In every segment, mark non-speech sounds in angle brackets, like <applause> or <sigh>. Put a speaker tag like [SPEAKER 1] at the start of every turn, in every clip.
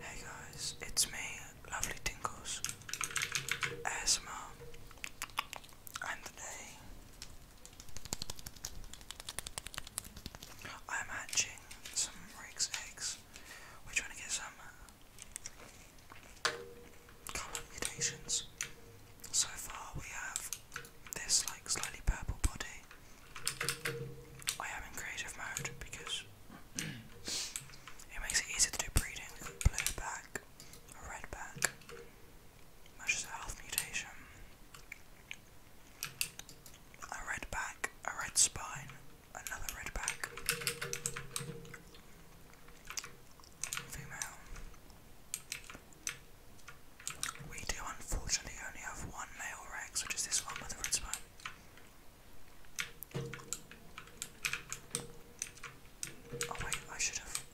[SPEAKER 1] Hey guys, it's me, Lovely Tinkles, ASMR, and today I'm hatching some Rick's eggs. We're trying to get some mutations. So far we have this like slightly purple body. I am in creative mode because it makes it easier to do breeding with blue back or red back. Matches a health mutation. A red back, a red spine, another red back. Female. We do unfortunately only have one male Rex, which is this one with a red spine. Oh wait, I should have.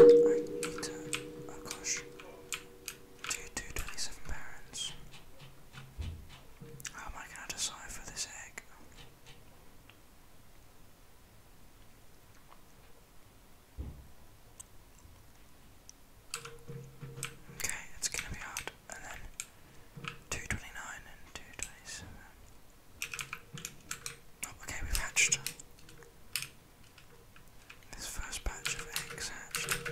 [SPEAKER 1] I need to. Oh gosh. Do do parents. How am I gonna decide this egg? Okay, it's gonna be hard. And then 229 and 227. Oh, okay, we've hatched. This first batch of eggs hatched.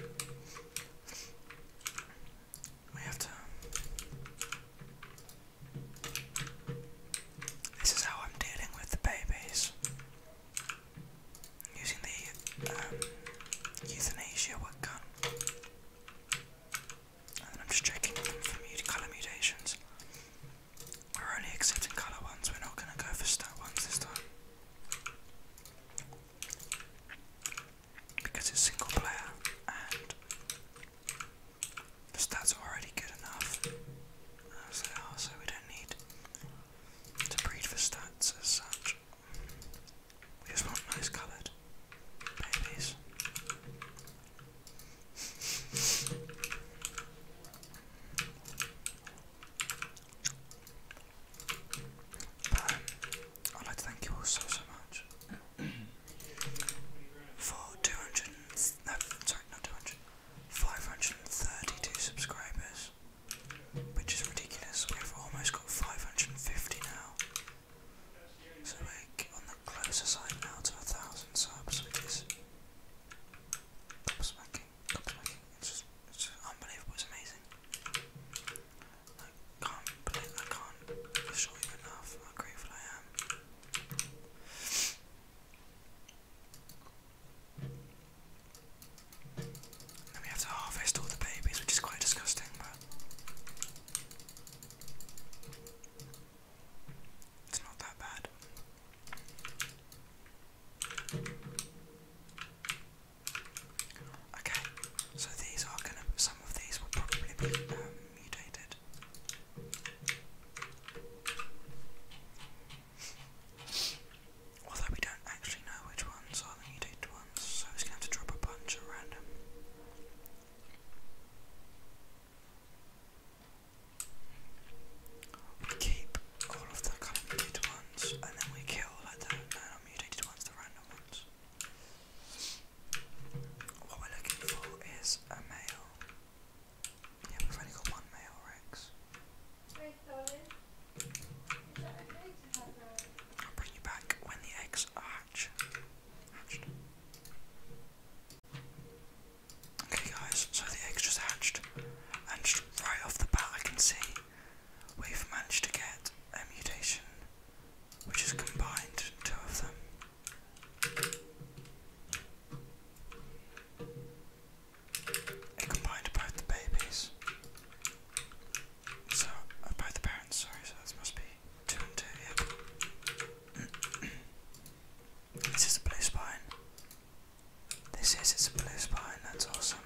[SPEAKER 1] We have to. Um, this is how I'm dealing with the babies using the um, euthanasia work gun. And I'm just checking for mut colour mutations. We're only accepting colour ones, we're not going to go for stats this time. Because it's single player and the stats are already good enough as they are, so we don't need to breed for stats as such. We just nice cupboard, babies. But, I'd like to thank you all so so much for 200, no, sorry, not 200, 532 subscribers which is ridiculous. We've almost got 550 now, so we're on the closer side now to a thousand subs, which is It's just, it's just unbelievable. It's amazing. I can't believe I can't assure you enough how grateful I am. And we have to harvest all the babies, which is quite disgusting, but it's not that bad. Okay, so these are gonna, some of these will probably be um, mutated. Although we don't actually know which ones are the needed ones, so he's gonna have to drop a bunch at random. We keep all of the kind of mutated ones, and then we kill like the uh, no, mutated ones, the random ones. What we're looking for is a male. Yeah, we've only got one male Rex. Bring you back when the eggs are hatched. Okay guys, so the eggs just hatched and right off the bat I can see we've managed to get a mutation which has combined two of them. It combined both the babies. So, uh, both the parents, sorry, so this must be two and two, <clears throat> this is a blue spine. This is, it's a blue spine, that's awesome.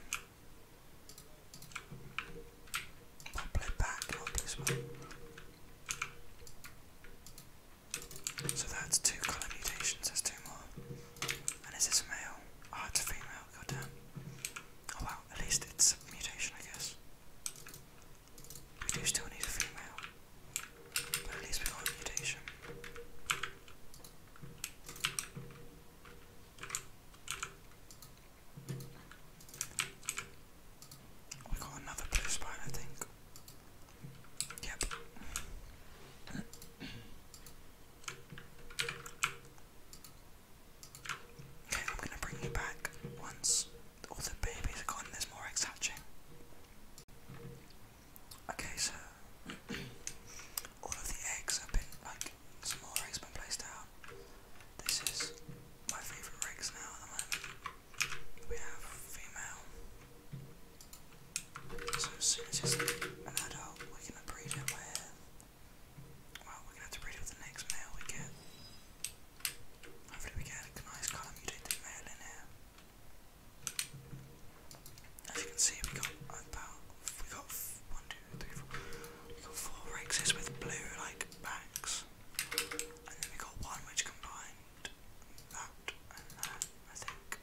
[SPEAKER 1] Not blue back, not blue spine. So that's two color mutations, there's two more. And is this male? Oh, it's a female, goddamn. Oh well, at least it's a mutation, I guess. We do still need a female, but at least we got a mutation. We got another blue spine, I think. Yep. <clears throat> Okay, I'm gonna bring you back once all the babies are gone there's more eggs hatching. Okay, so <clears throat> all of the eggs have been like some eggs been placed out. This is my favourite eggs now at the moment. We have female. So as soon as he's an adult, we're gonna breed him Well, we're gonna have to breed it with the next male we get. Hopefully, we get a nice column mutated male in here. As you can see, we got about we got one, two, three, four. We got four rexes with blue like backs, and then we got one which combined that and that. I think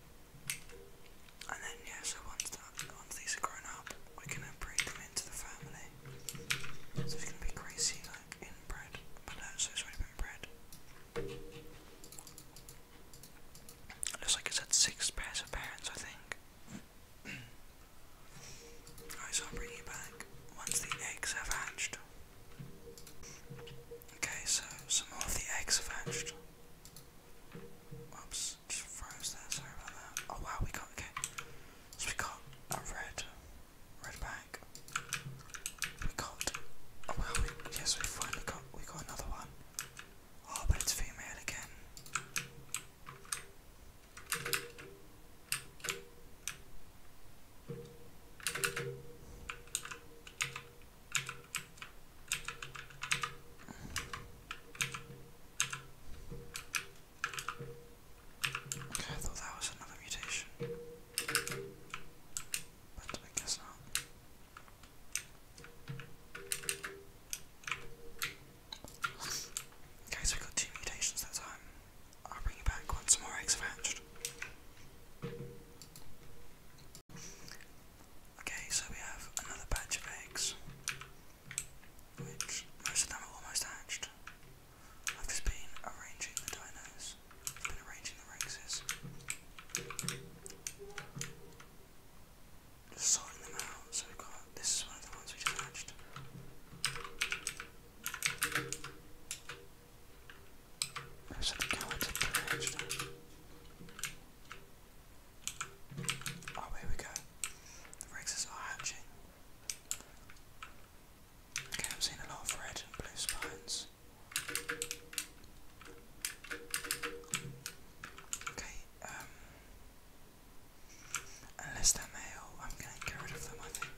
[SPEAKER 1] And then yeah, once these are grown up, we're gonna breed them into the family. So it's gonna be crazy, like inbred, but no, it's already been bred. looks like it's had six pairs of parents, I think. <clears throat> Alright, I'll bring you back once the eggs have hatched. Okay, so some of the eggs have hatched. Oops just, froze there, sorry about that. Oh wow, we got, okay. So we got a red, red back. We got, oh yes, we finally got, we got another one. Oh, but it's female again. Okay, I thought that was another mutation. But I guess not. Okay, so we got two mutations that time. I'll bring you back once more eggs are hatched. Okay, so we have another batch of eggs, which most of them are almost hatched. I've just been arranging the dinos, I've been arranging the rexes, just sorting them out. So we've got this is one of the ones we just hatched. So the cowards have been hatched. Oh, here we go. The Rexes are hatching. Okay, I'm seeing a lot of red and blue spines. Okay, um, unless they're male, I'm going to get rid of them, I think.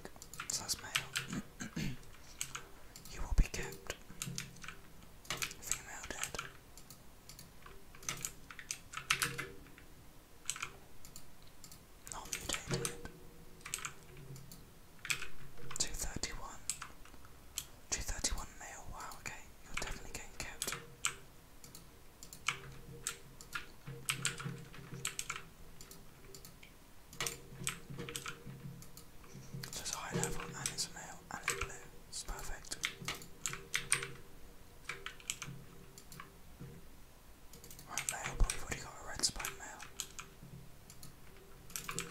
[SPEAKER 1] So male. <clears throat> you will be kept. Female dead. 231. 231 male, wow, okay. You're definitely getting kept. So it's a high level and it's a male it's perfect. Right, mail, but got a red spine mail. We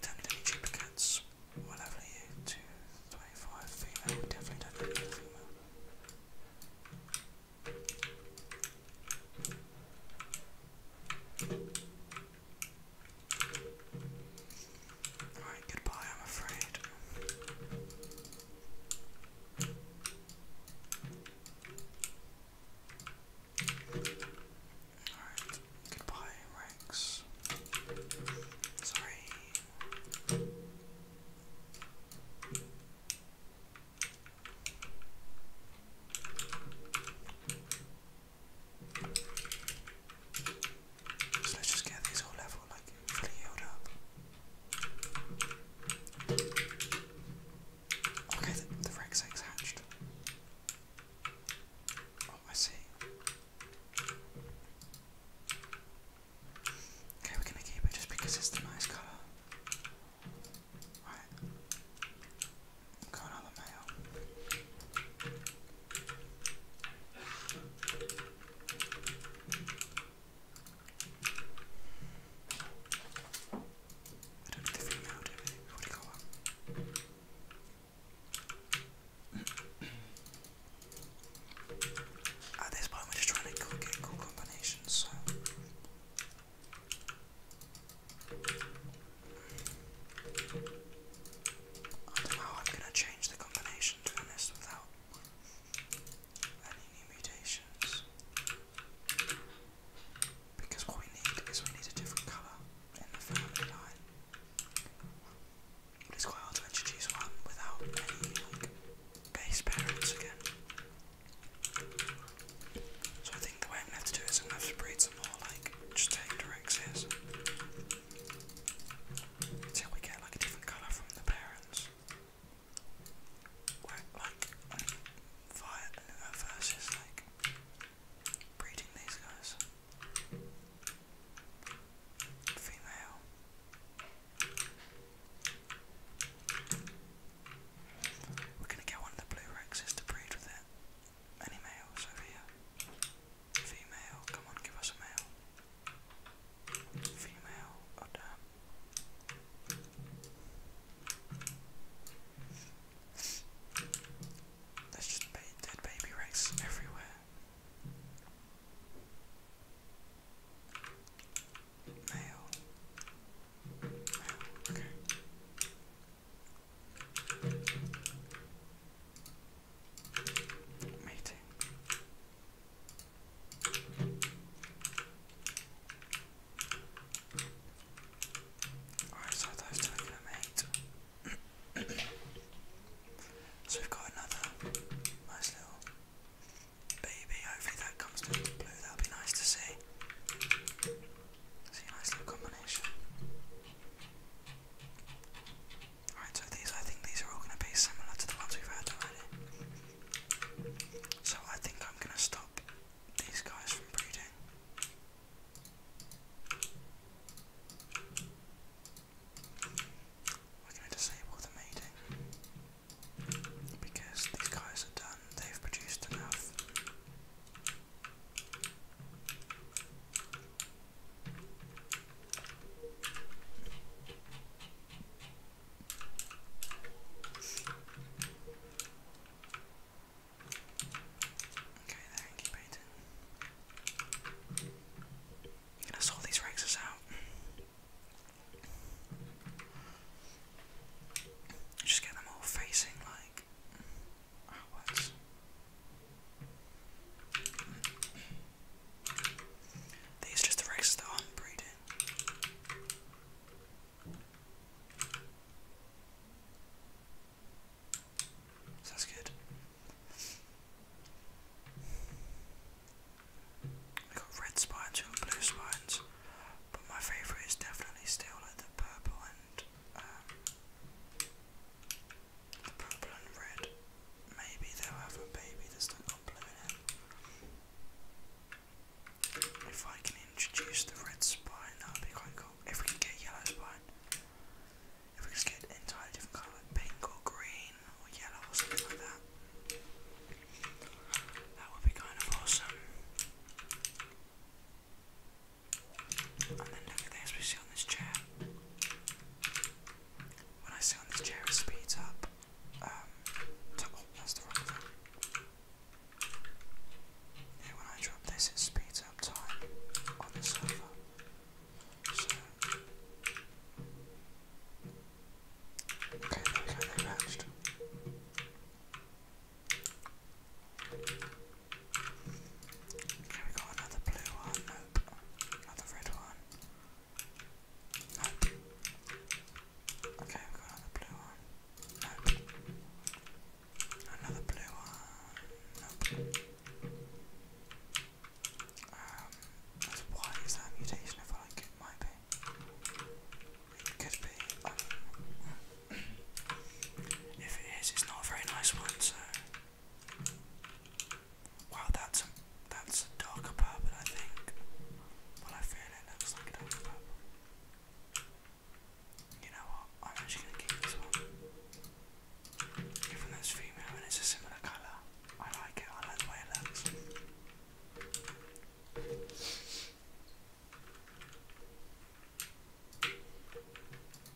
[SPEAKER 1] don't need any duplicates. What you? 2, female. definitely don't need any female. Alright, goodbye, I'm afraid. Alright, goodbye, Rex. Sorry. So let's just get these all level, like fully up. Okay, the, Rex egg's hatched. Oh, I see. Okay, we're gonna keep it just because it's the nice colour. Right. Got another male. I don't need the female, do we? got At this point, we're just trying to get cool combinations, so. I don't know, I'm gonna change the combination to be honest without any mutations. Because what we need is we need a different colour in the family line. But it's quite hard to introduce one without any base parents again. So I think the way I'm gonna have to do is I'm gonna have to breed some more like just take direct until we get like a different colour from the parents. Where, like, fire uh, versus like breeding these guys. Female. We're gonna get one of the blue rexes to breed with it. Any males over here. Female, come on, give us a male. Female, oh damn. There's just dead baby wrecks everywhere. Male. Male, okay. Meeting. Alright, so those two are going mate. so we've got another nice little baby. Hopefully that comes to blue, that'll be nice to see. See a nice little combination. Alright, so these I think these are all gonna be similar to the ones we've had already. So I think I'm gonna stop these guys from breeding. We're gonna disable the mating. Because these guys are done, they've produced enough. Okay, they're Gonna sort these Rexes out. Just get them all facing like outwards. These are just the races that I'm breeding. So that's good. I got red spines, we blue spines, but my favourite is definitely still like the purple and the purple and red. Maybe they'll have a baby that's not blue in it. If I can introduce the red spine, that would be quite If we can get yellow spine, if we can get entirely different colour, pink or green or yellow or something like that, that would be kind of awesome. And then look at this, we see on this chair. When I sit on this chair, it speeds up. Um, oh, that's the wrong thing. Yeah, when I drop this, it speeds up time on the server. Okay, there we go, they matched. Okay, we got another blue one. Nope. Another red one. Nope. Okay, we got another blue one. Nope. Another blue one. Nope. Um, why is that a mutation? I like it might be. It could be. Um, <clears throat> if it is, it's not a very nice one, so. Wow, that's a, that's a darker purple, I think. Well, I feel it looks like a darker purple. You know what? I'm actually gonna keep this one. Even though it's female and it's a similar colour, I like it. I like the way it looks.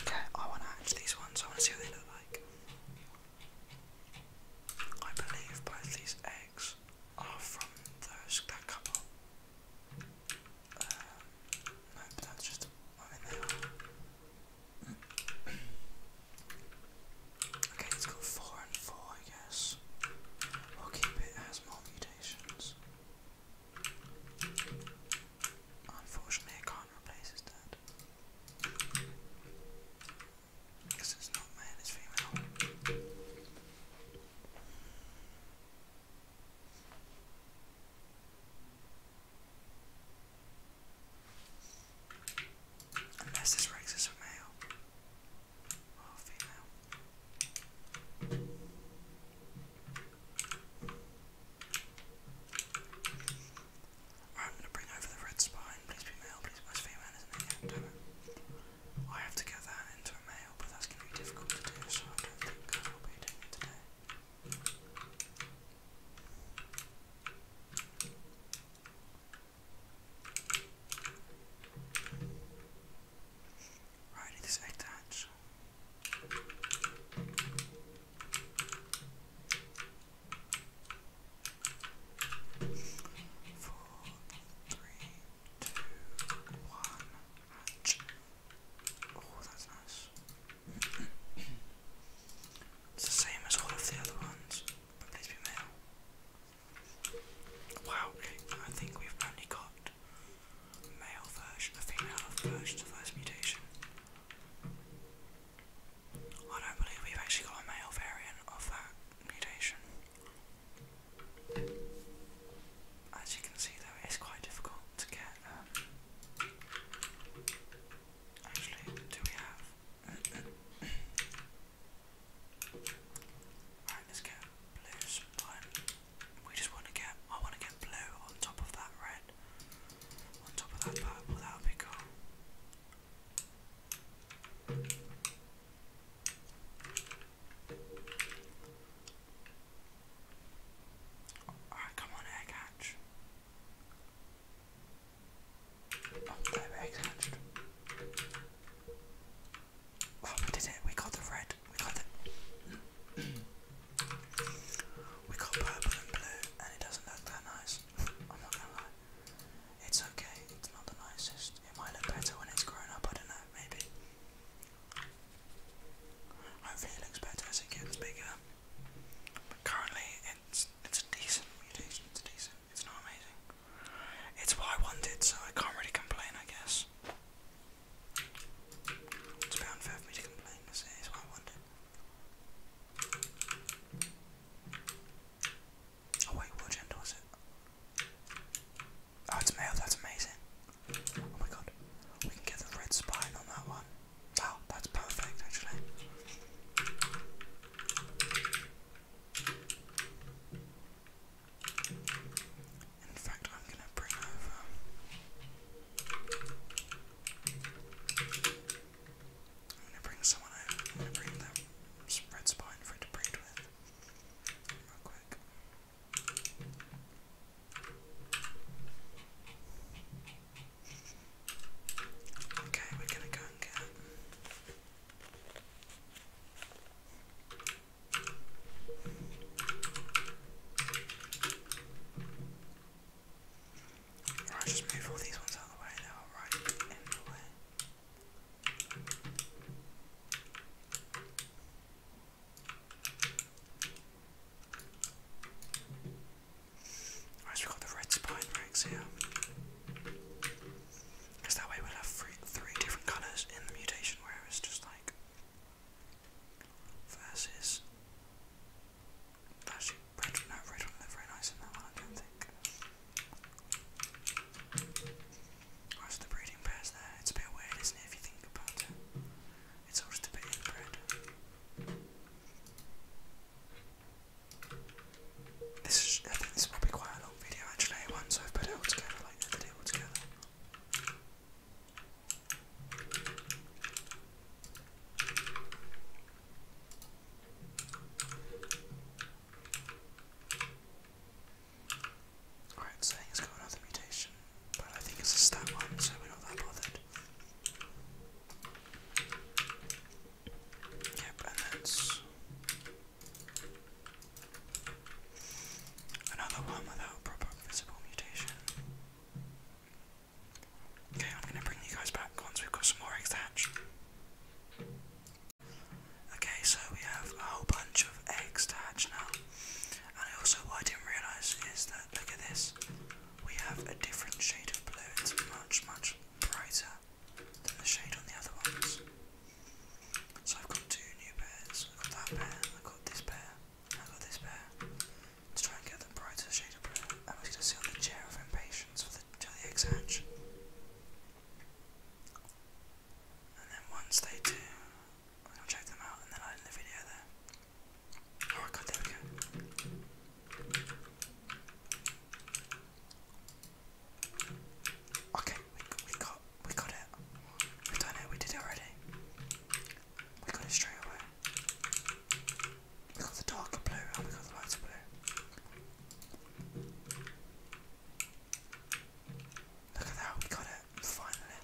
[SPEAKER 1] Okay, I want to hatch these ones, I want to see what they look like. I believe both these eggs are from those, that couple. Uh, no, but that's just, I mean they are. <clears throat> okay, it's got four and four, I guess. We'll keep it as mutations. Unfortunately, I can't replace his dad. Because it's not male, it's female. Unless this Rex is a male or female. Alright, I'm gonna bring over the red spine. Please be male, please. Where's female, I have to get that into a male, but that's gonna be difficult to do, so I don't think guys will be doing it today. Right, I need this Four, three, two, one, hatch. Oh, that's nice. <clears throat> it's the same as all of the other ones, but please be male. Wow, I think we've only got male version, a female of this mutation. I don't believe we've actually got a male variant of that mutation. As you can see though, it's quite difficult to get, um, actually, do we have, <coughs> let's get blue spine. We just want to get, I want to get blue on top of that red, on top of that purple, that would be cool. come on, egg hatch. Oh, no, egg hatched. Oh, did it, we got the red, we got the. We got purple and blue, and it doesn't look that nice. I'm not gonna lie. It's okay, it's not the nicest. It might look better when it's grown up, I don't know, maybe. Hopefully it looks better as it gets bigger. But currently it's it's a decent mutation, it's decent, it's not amazing. It's what I wanted, so I can't really complain I guess. It's a pound for me to complain, is it? Is what I wanted. Oh wait, what agenda was it? Oh, it's male, that's amazing. Oh my god, we can get the red spine on that one. Oh, that's perfect actually. In fact, I'm going to bring over. I'm going to bring someone over. I'm going to bring that red spine for it to breed with. Real quick. Okay, we're gonna go and get Alright, just move all these ones out the way, they're alright in we've got the red spine ranks here. Because that way we'll have three, three different colours in the mutation, whereas just like versus actually red no red one look very nice in that one I don't think. Right, the breeding pairs there, it's a bit weird isn't it if you think about it. It's all just a bit This is, I think this will be quite a long video actually, once I've put it all together, like the video together. Alright, so he's got another mutation, but I think it's a stat one, so we're not that bothered. Yep, and that's Another one without proper visible mutation. Okay, I'm gonna bring you guys back once we've got some more eggs hatched. Okay, so we have a whole bunch of eggs to hatch now. And also what I didn't realise is that look at this. We have a different shade of blue. It's much, much brighter than the shade on the other ones. So I've got two new pairs. I've got that pair, I've got this pair. I got this bear. To try and get the brighter shade of blue, I was going to sit on the chair of impatience for the, till the eggs hatch. And then once they do, I'll check them out and then I'll end the video there. Oh there we go. Okay, we got we got it. We've done it, we did it already. We got it straight away. We got the darker blue and we got the lighter blue. Look at that, we got it, finally.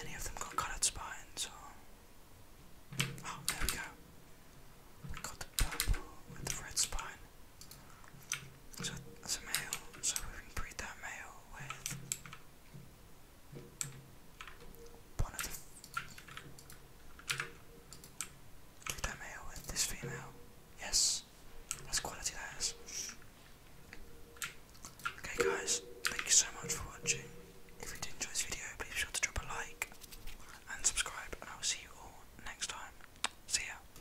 [SPEAKER 1] Any of them got coloured spines Oh, there we go. We got the purple with the red spine. So it's male, so we can breed that male with one of that male with this female. Yes, that's quality that is. Okay guys, thank you so much for watching. If you did enjoy this video, please be sure to drop a like and subscribe and I will see you all next time. See ya.